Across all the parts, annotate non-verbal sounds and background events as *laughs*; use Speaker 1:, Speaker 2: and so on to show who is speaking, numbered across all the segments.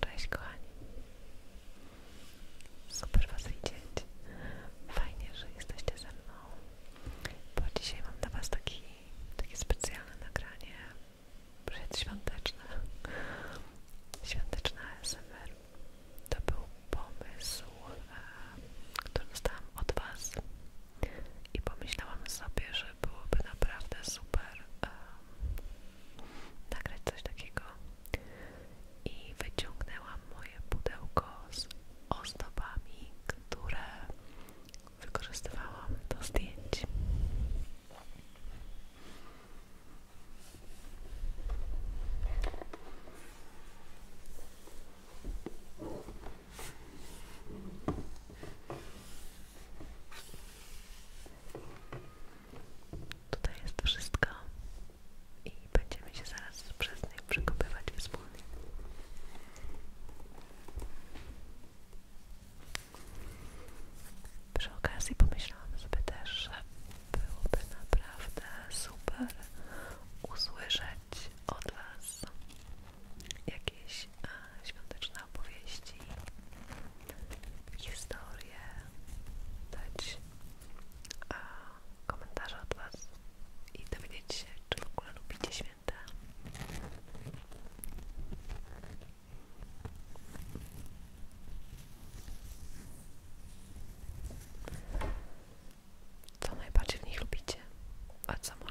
Speaker 1: Cześć kochani. Super was widzieć. Fajnie, że jesteście ze mną. Bo dzisiaj mam dla was takie specjalne nagranie przedświąteczne. Świąteczne ASMR. To był pomysł, e, który dostałam od was i pomyślałam sobie, że byłoby naprawdę super nagrać coś takiego i wyciągnęłam moje pudełko z ozdobami, które wykorzystywałam do zdjęć. Tutaj jest wszystko i będziemy się zaraz przez nie przekopywać wspólnie. Przy okazji pomyślałam sobie też, że byłoby naprawdę super usłyszeć od Was jakieś e, świąteczne opowieści, historie, dać a, e, komentarze od Was i dowiedzieć się, czy w ogóle lubicie święta. Co najbardziej w nich lubicie, a co może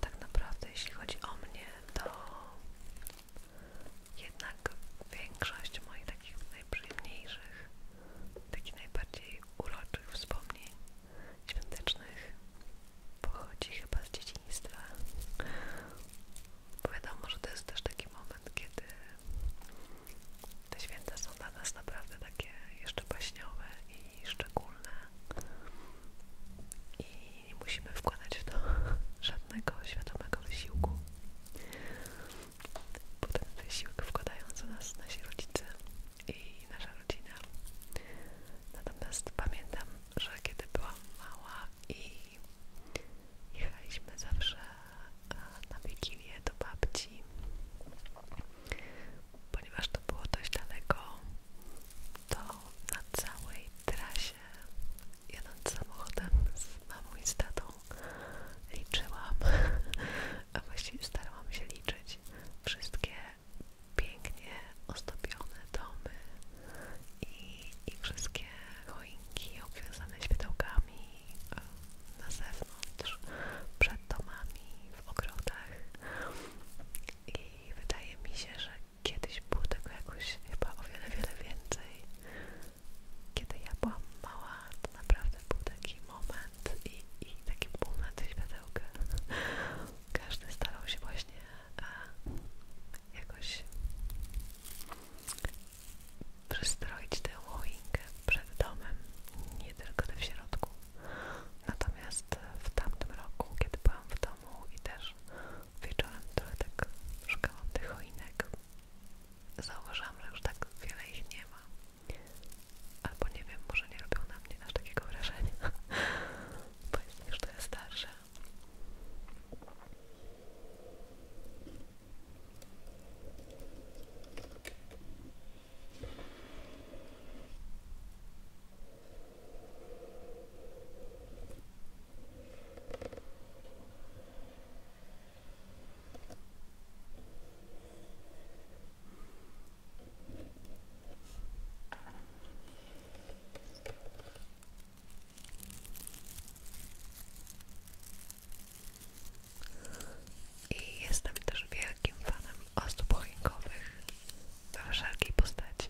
Speaker 1: Tak naprawdę, jeśli chodzi o mnie, to jednak większość moich takich najprzyjemniejszych, takich najbardziej uroczych wspomnień świątecznych pochodzi chyba z dzieciństwa. Bo wiadomo, że to jest też taki moment, kiedy te święta są dla nas naprawdę takie jeszcze baśniowe i szczególne. I nie musimy wkładać w to *laughs* żadnego świadomego wysiłku. Potem wysiłek wkładają za nas nasi rodzice i nasza rodzina. Natomiast pamiętam, że kiedy byłam mała i jechaliśmy zawsze e, na Wigilię do babci, ponieważ to było dość daleko, to na całej trasie jadąc samochodem z mamą i z tatą liczyłam, *laughs* a właściwie starałam się liczyć wszystkie pięknie ozdobione domy i, i wszystkie choinki obwiązane światełkami e, na zewnątrz, przed domami, w ogrodach i wydaje mi się, że kiedyś było tego jakoś chyba o wiele, wiele więcej. Kiedy ja byłam mała, to naprawdę był taki moment, moment i, takie taki moment światełka. Każdy starał się właśnie a, e, jakoś przystroić tę choinkę przed domem, nie tylko tę w środku. Natomiast w tamtym roku, kiedy byłam w domu i też wieczorem trochę tak szukałam tych choinek, zauważyłam, że już tak wiele ich nie ma. Albo nie wiem, może nie robią na mnie aż takiego wrażenia, *laughs* bo jestem już trochę starsza. I jestem też wielkim fanem osób choinkowych we wszelkiej postaci.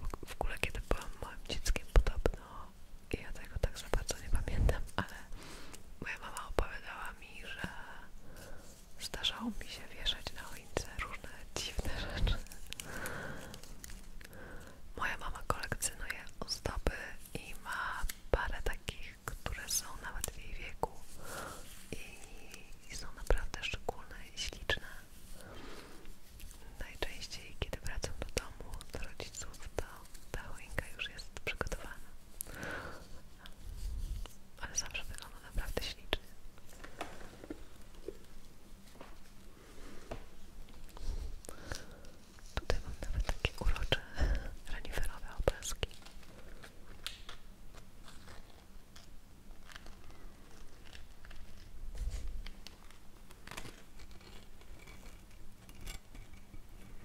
Speaker 1: Bo w ogóle kiedy byłam małym dzieckiem podobno, ja tego tak za bardzo nie pamiętam, ale moja mama opowiadała że zdarzało mi się wieszać na choince różne dziwne rzeczy. Moja mama kolekcjonuje ozdoby i ma parę takich, które są nawet w jej wieku i są naprawdę szczególne i śliczne. Najczęściej, kiedy wracam do domu, do rodziców, to ta choinka już jest przygotowana ale zawsze wygląda naprawdę ślicznie. Tutaj mam nawet takie urocze reniferowe obrazki.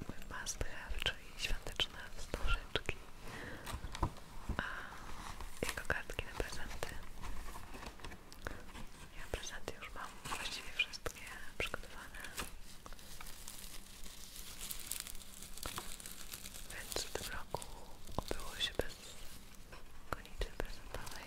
Speaker 1: Mój must have, czyli świąteczne wznożenie książki a jego kartki na prezenty ja prezenty już mam właściwie wszystkie przygotowane więc w tym roku obyło się bez konicy prezentowej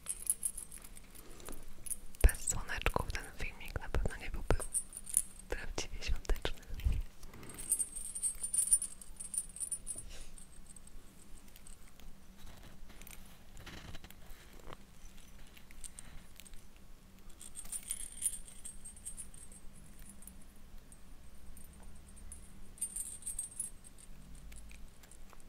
Speaker 1: Bez słoneczków ten filmik na pewno nie byłby prawdziwie świąteczny. A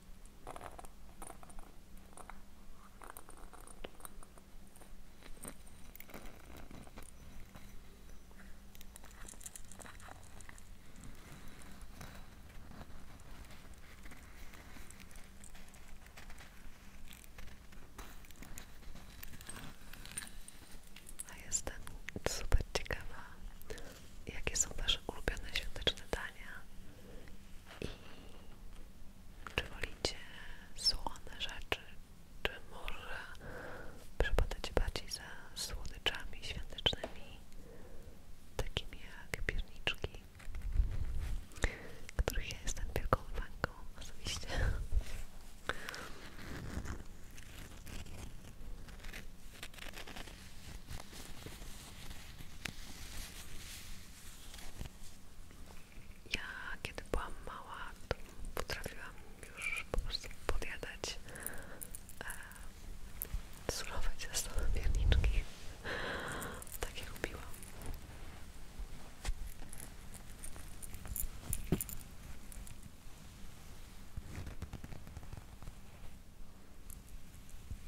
Speaker 1: jestem super ciekawa, jakie są Wasze ulubione świąteczne dania czy wolicie słone rzeczy, czy może przypadacie bardziej za słodyczami świątecznymi, takimi jak pierniczki, których ja jestem wielką fanką osobiście. Ja kiedy byłam mała, to potrafiłam już po prostu podjadać e, surowe ciasto na pierniczki. Takie lubiłam.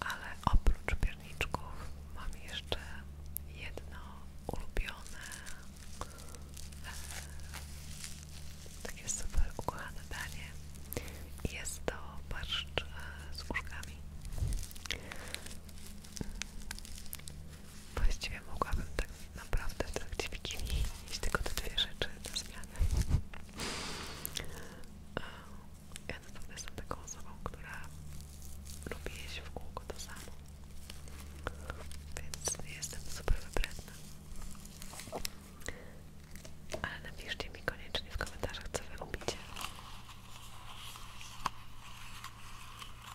Speaker 1: Ale oprócz pierniczków mam jeszcze jedno ulubione, e, takie super ukochane danie. Jest to barszcz e, z uszkami. Właściwie mogłabym tak naprawdę w trakcie Wigilii jeść tylko te dwie rzeczy na zmianę. Ja na naprawdę jestem taką osobą, która lubi jeść w kółko to samo. Więc nie jestem super wybredna. Ale napiszcie mi koniecznie w komentarzach, co wy lubicie.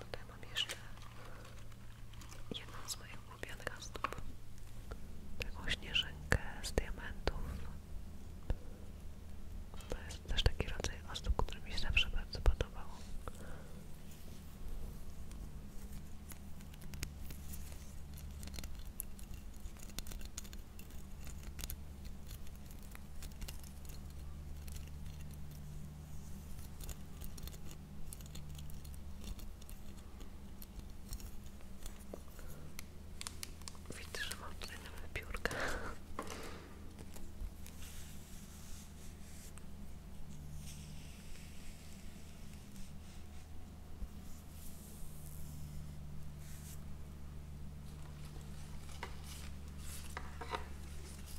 Speaker 1: Tutaj mam jeszcze jedną z moich ulubionych stóp. Taką śnieżynkę z diamentów. To jest też taki rodzaj osób, który mi się zawsze bardzo podobało. Widzę, że mam tutaj nawet piórka.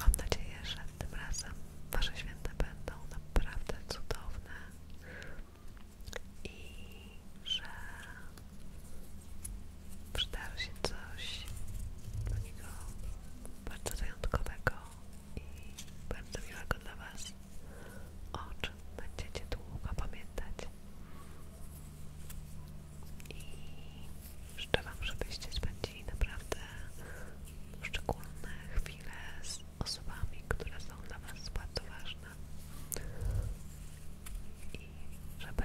Speaker 1: Mam nadzieję, że tym razem Wasze święta będą naprawdę cudowne i że przydało się coś takiego bardzo wyjątkowego i bardzo miłego dla Was, o czym będziecie długo pamiętać. I życzę Wam, żebyście spędzili naprawdę szczególne chwile z osobami, które są dla Was bardzo ważne i żeby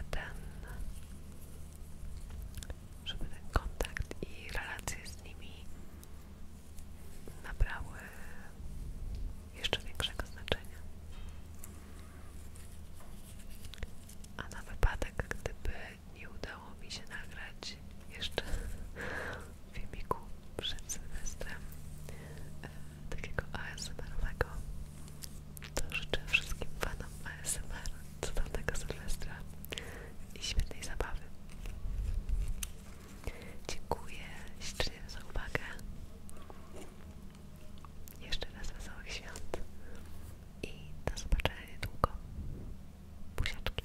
Speaker 1: ten kontakt i relacje z nimi nabrały jeszcze większego znaczenia. A na wypadek, gdyby nie udało mi się nagrać jeszcze filmiku przed Sylwestrem e, takiego ASMR-owego to życzę wszystkim fanom ASMR cudownego Sylwestra i świetnej zabawy dziękuję ślicznie za uwagę jeszcze raz wesołych świąt i do zobaczenia niedługo buziaczki